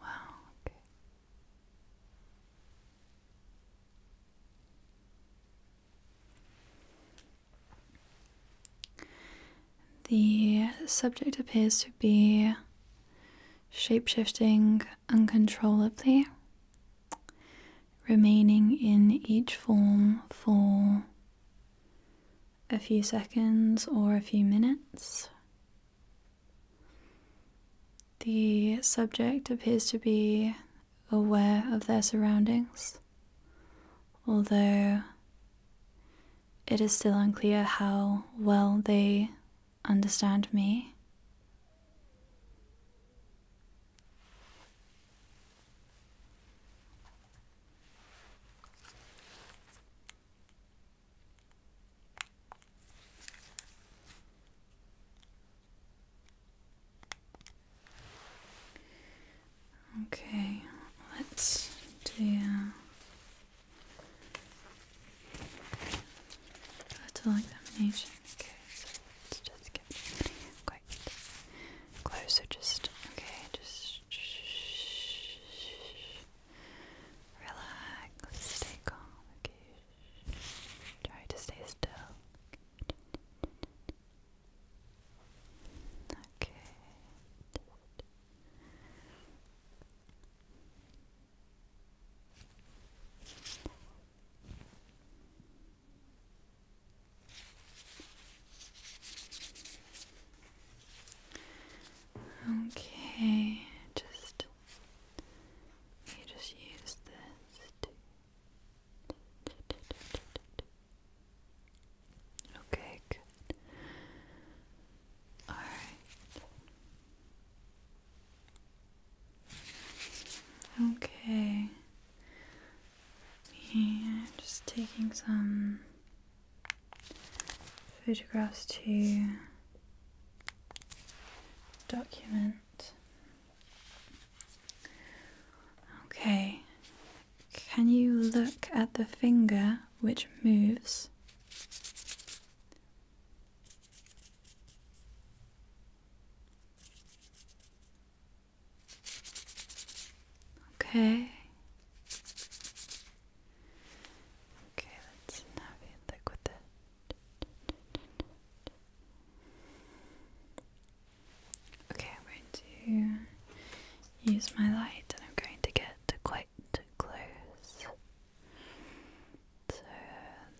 Wow, The subject appears to be shapeshifting uncontrollably remaining in each form for a few seconds or a few minutes. The subject appears to be aware of their surroundings, although it is still unclear how well they understand me. Okay, let's do a little examination. Okay. Let's just get quite close. So just okay, just relax, stay calm. Okay, try to stay still. Okay. Okay, just you just use this. Okay, All right. Okay. Yeah, just taking some photographs to document. Okay, can you look at the finger which moves? Okay. Okay, let's navigate with it. Okay, I'm going to use my light and I'm going to get quite close. So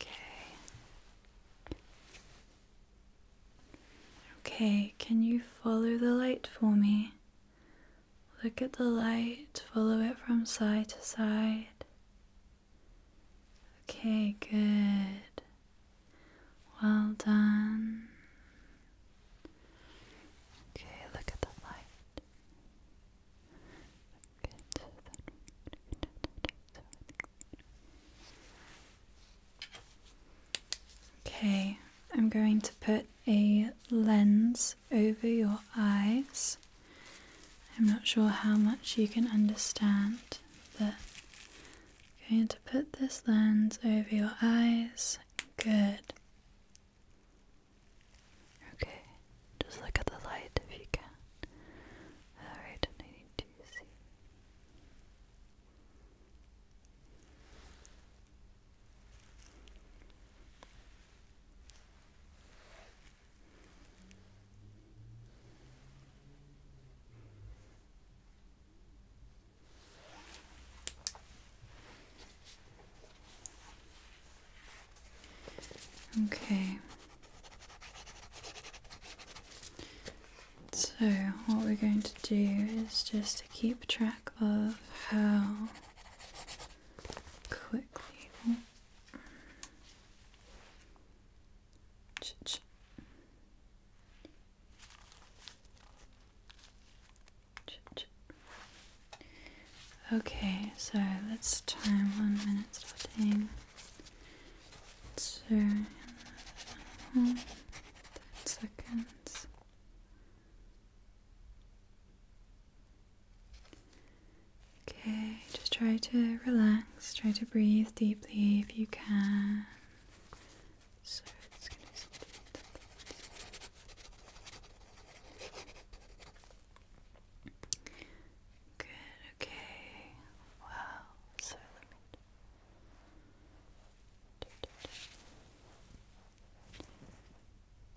Okay. Okay, can you follow the light for me? Look at the light, follow it from side to side. Okay, good. Well done. Okay, look at the light. Okay, I'm going to put a lens over your eyes. I'm not sure how much you can understand, but I'm going to put this lens over your eyes. Good. Okay, just look at the light if you can. Alright, I need see. Okay. So, what we're going to do is just to keep track of how quickly. Okay, so let's time one minute starting. So, ten seconds. Okay, just try to relax, try to breathe deeply if you can. Good, okay. Wow,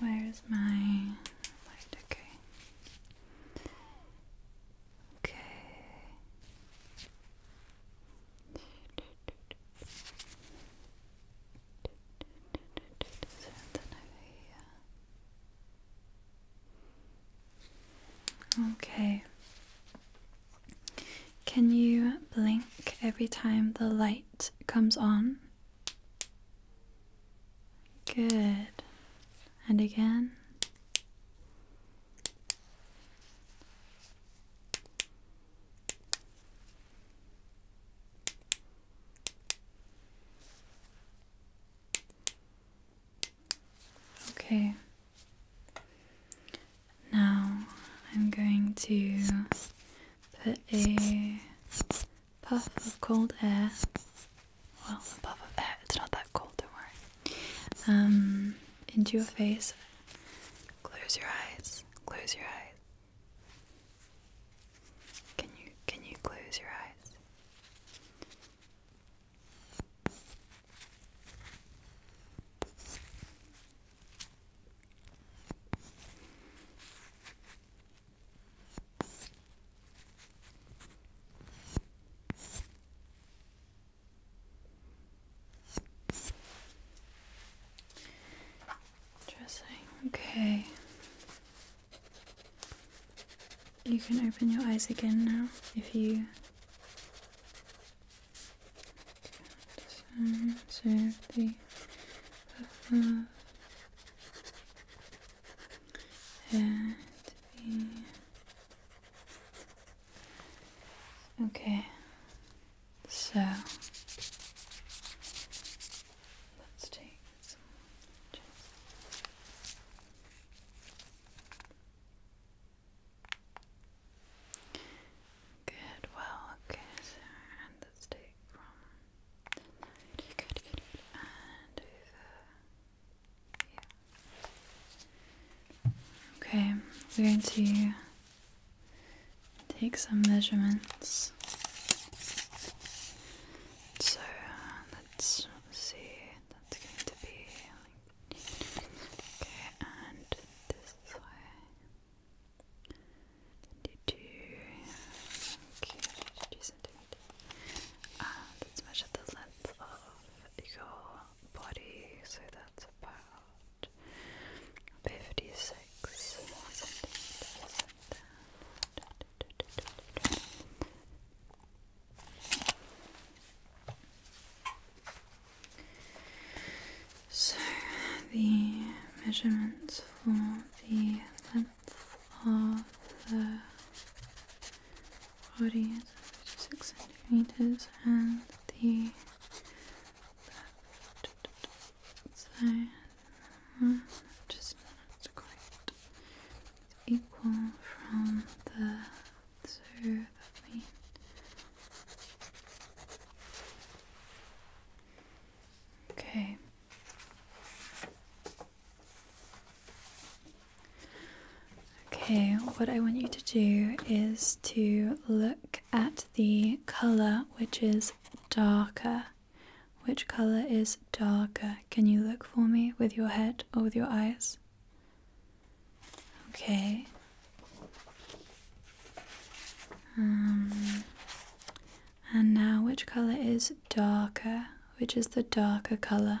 Where's my light? Okay. Okay. Okay. Can you blink every time the light comes on? Good. And again. Okay. Now I'm going to put a puff of cold air. Well, a puff of air, it's not that cold, don't worry. Um, into your face. Close your eyes. Close your eyes. Can you can you close your eyes? Dressing. Okay. You can open your eyes again now if you. Okay, so let's take some. Good, well, okay, and let's take from good, and over Okay, we're going to take some measurements. So let's see, that's going to be okay, and this way. Okay, ah, let's measure the length of your body, so that's about 56 So the measurements for the length of the Forty centimeters and the side just equal from the so that means Okay. Okay, what I want you to do is to look at the colour which is darker. Which colour is darker? Can you look for me with your head or with your eyes? Okay. Um, and now, which colour is darker? Which is the darker colour?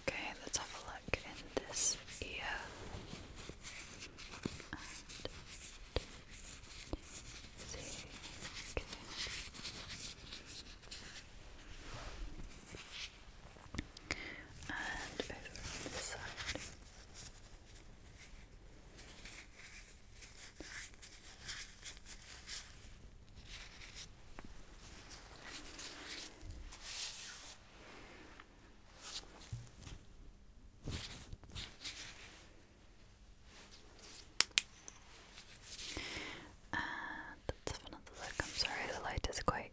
Okay, let's have a look in this ear. Okay. And over this side. Uh, and another look. I'm sorry, the light is quite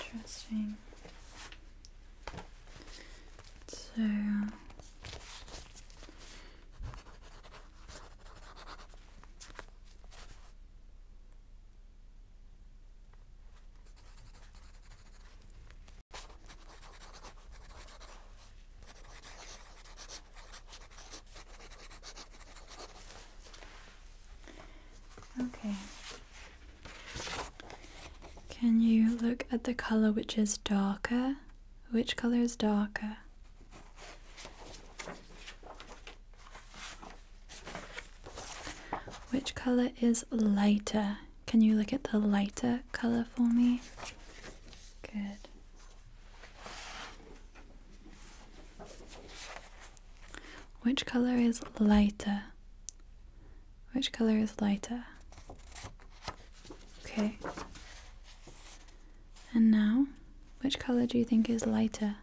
Interesting. So Okay. Can you look at the color which is darker? Which color is darker? Which color is lighter? Can you look at the lighter color for me? Good. Which color is lighter? Which color is lighter? Okay. And now, which color do you think is lighter?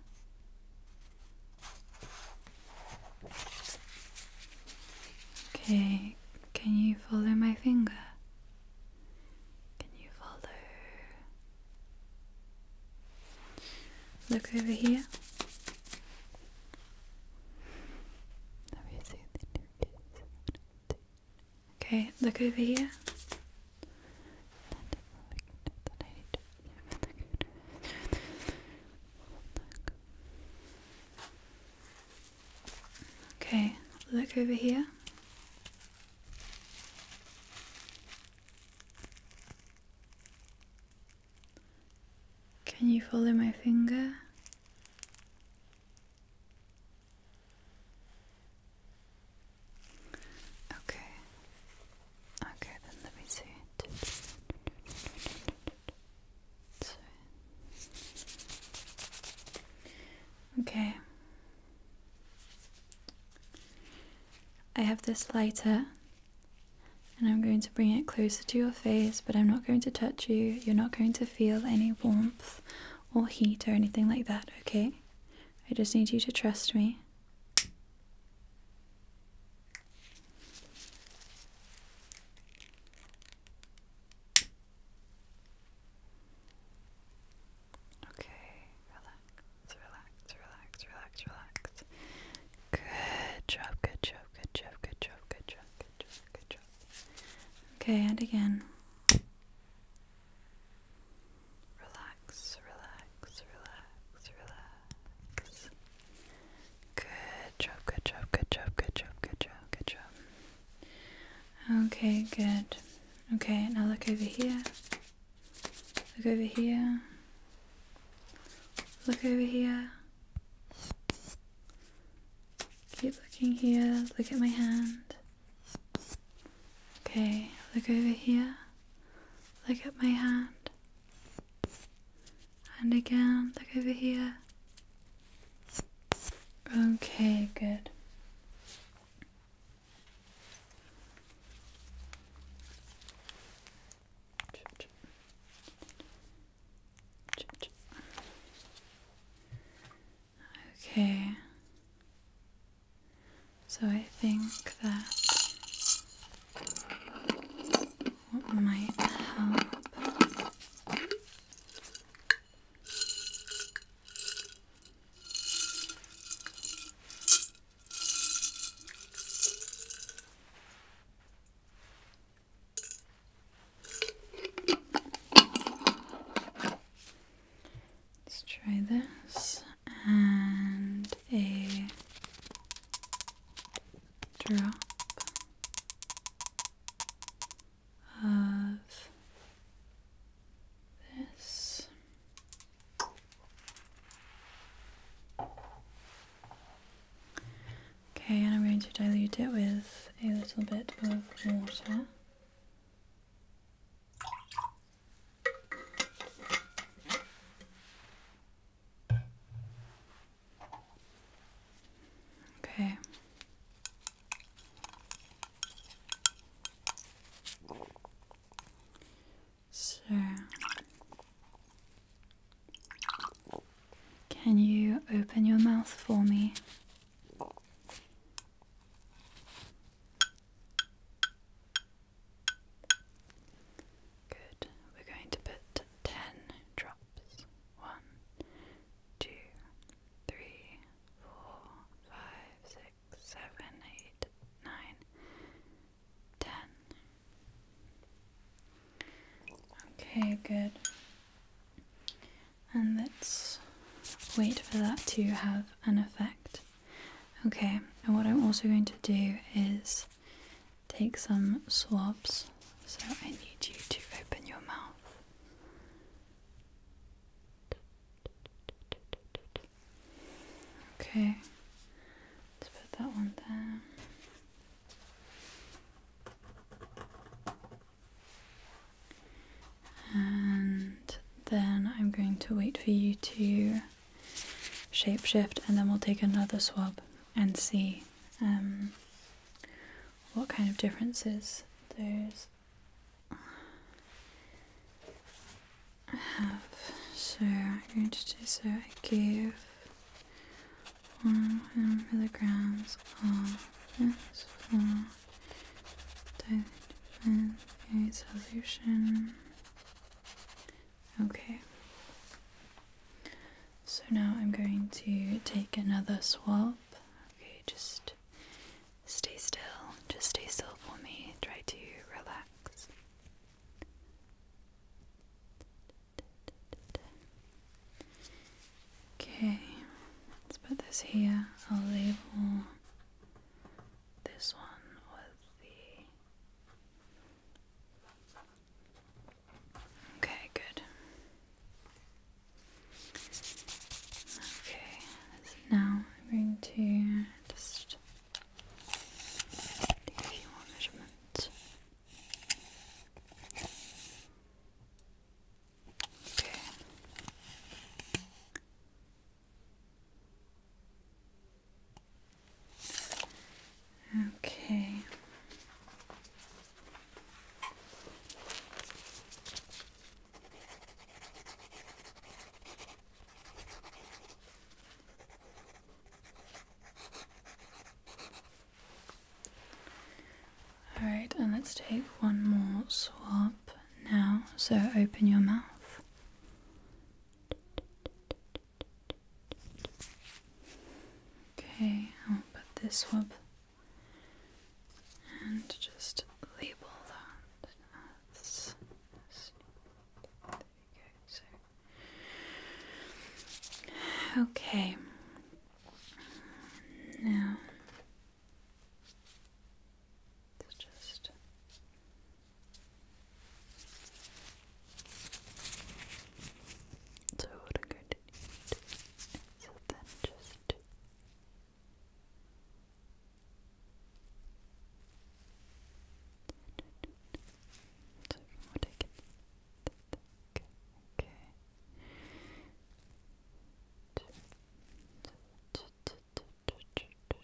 Okay, can you follow my finger? Can you follow? Look over here. Okay, look over here. Okay, look over here. Can you follow my finger? Okay. Okay, then let me see Okay. I have this lighter and I'm going to bring it closer to your face, but I'm not going to touch you. You're not going to feel any warmth or heat or anything like that, okay? I just need you to trust me. Okay, relax, relax, relax, relax, relax. Good job, good job, good job, good job, good job, good job, good job. Okay, and again. Relax, relax, relax, relax. Good job, good job, good job, good job, good job, good job. Okay, good. Okay, now look over here. Look over here. Look over here. Keep looking here. Look at my hand. Okay, look over here. Look at my hand. And again, look over here. Okay, good. Okay. So I think that what might help? Let's try this and a drop of this. Okay, and I'm going to dilute it with a little bit of water. Okay. So, can you open your mouth for me? Good. We're going to put 10 drops. 1, 10. Okay, good. And let's wait for that to have an effect. Okay, and what I'm also going to do is take some swabs. So I need you to open your mouth. Okay, let's put that one there. And then I'm going to wait for you to shapeshift and then we'll take another swab and see um, what kind of differences there's. have. So I'm going to do so. I give one milligrams of this solution Okay. So now I'm going to take another swap. Okay, just stay still. Just stay still for me. Try to relax. Okay, let's put this here. I'll label this one with the Okay, good. Okay, now I'm going to just do a few more measurements. Okay. Okay. All right, and let's take one more swap now. So open your mouth. Okay, I'll put this one and just label that there you go, okay now just so what I'm going to need is then just so from what I can okay, okay. Just,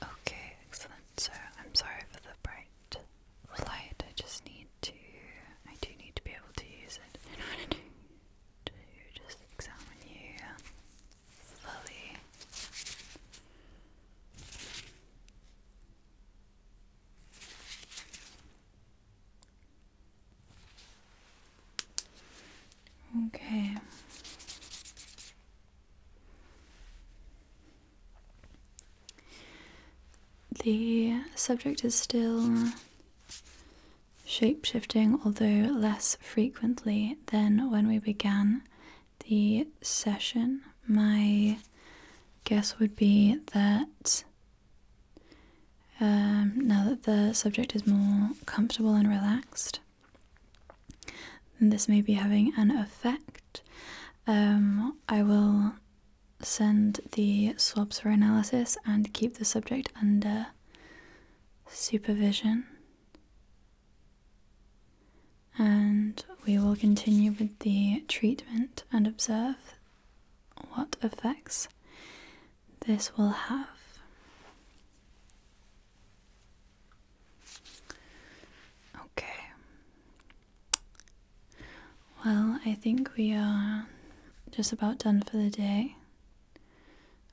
Okay, excellent. So I'm sorry for the bright light. I just need to. I do need to be able to use it in order to, to just examine you fully. Okay. The subject is still shape shifting, although less frequently than when we began the session. My guess would be that um, now that the subject is more comfortable and relaxed, this may be having an effect. Um, I will send the swabs for analysis and keep the subject under supervision. And we will continue with the treatment and observe what effects this will have. Okay. Well, I think we are just about done for the day.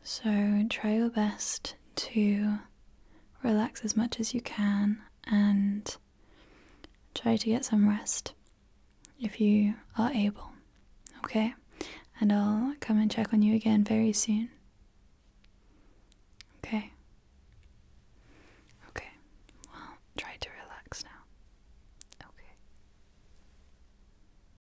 So try your best to relax as much as you can and try to get some rest if you are able. Okay? And I'll come and check on you again very soon. Okay. Okay. Well, try to relax now. Okay.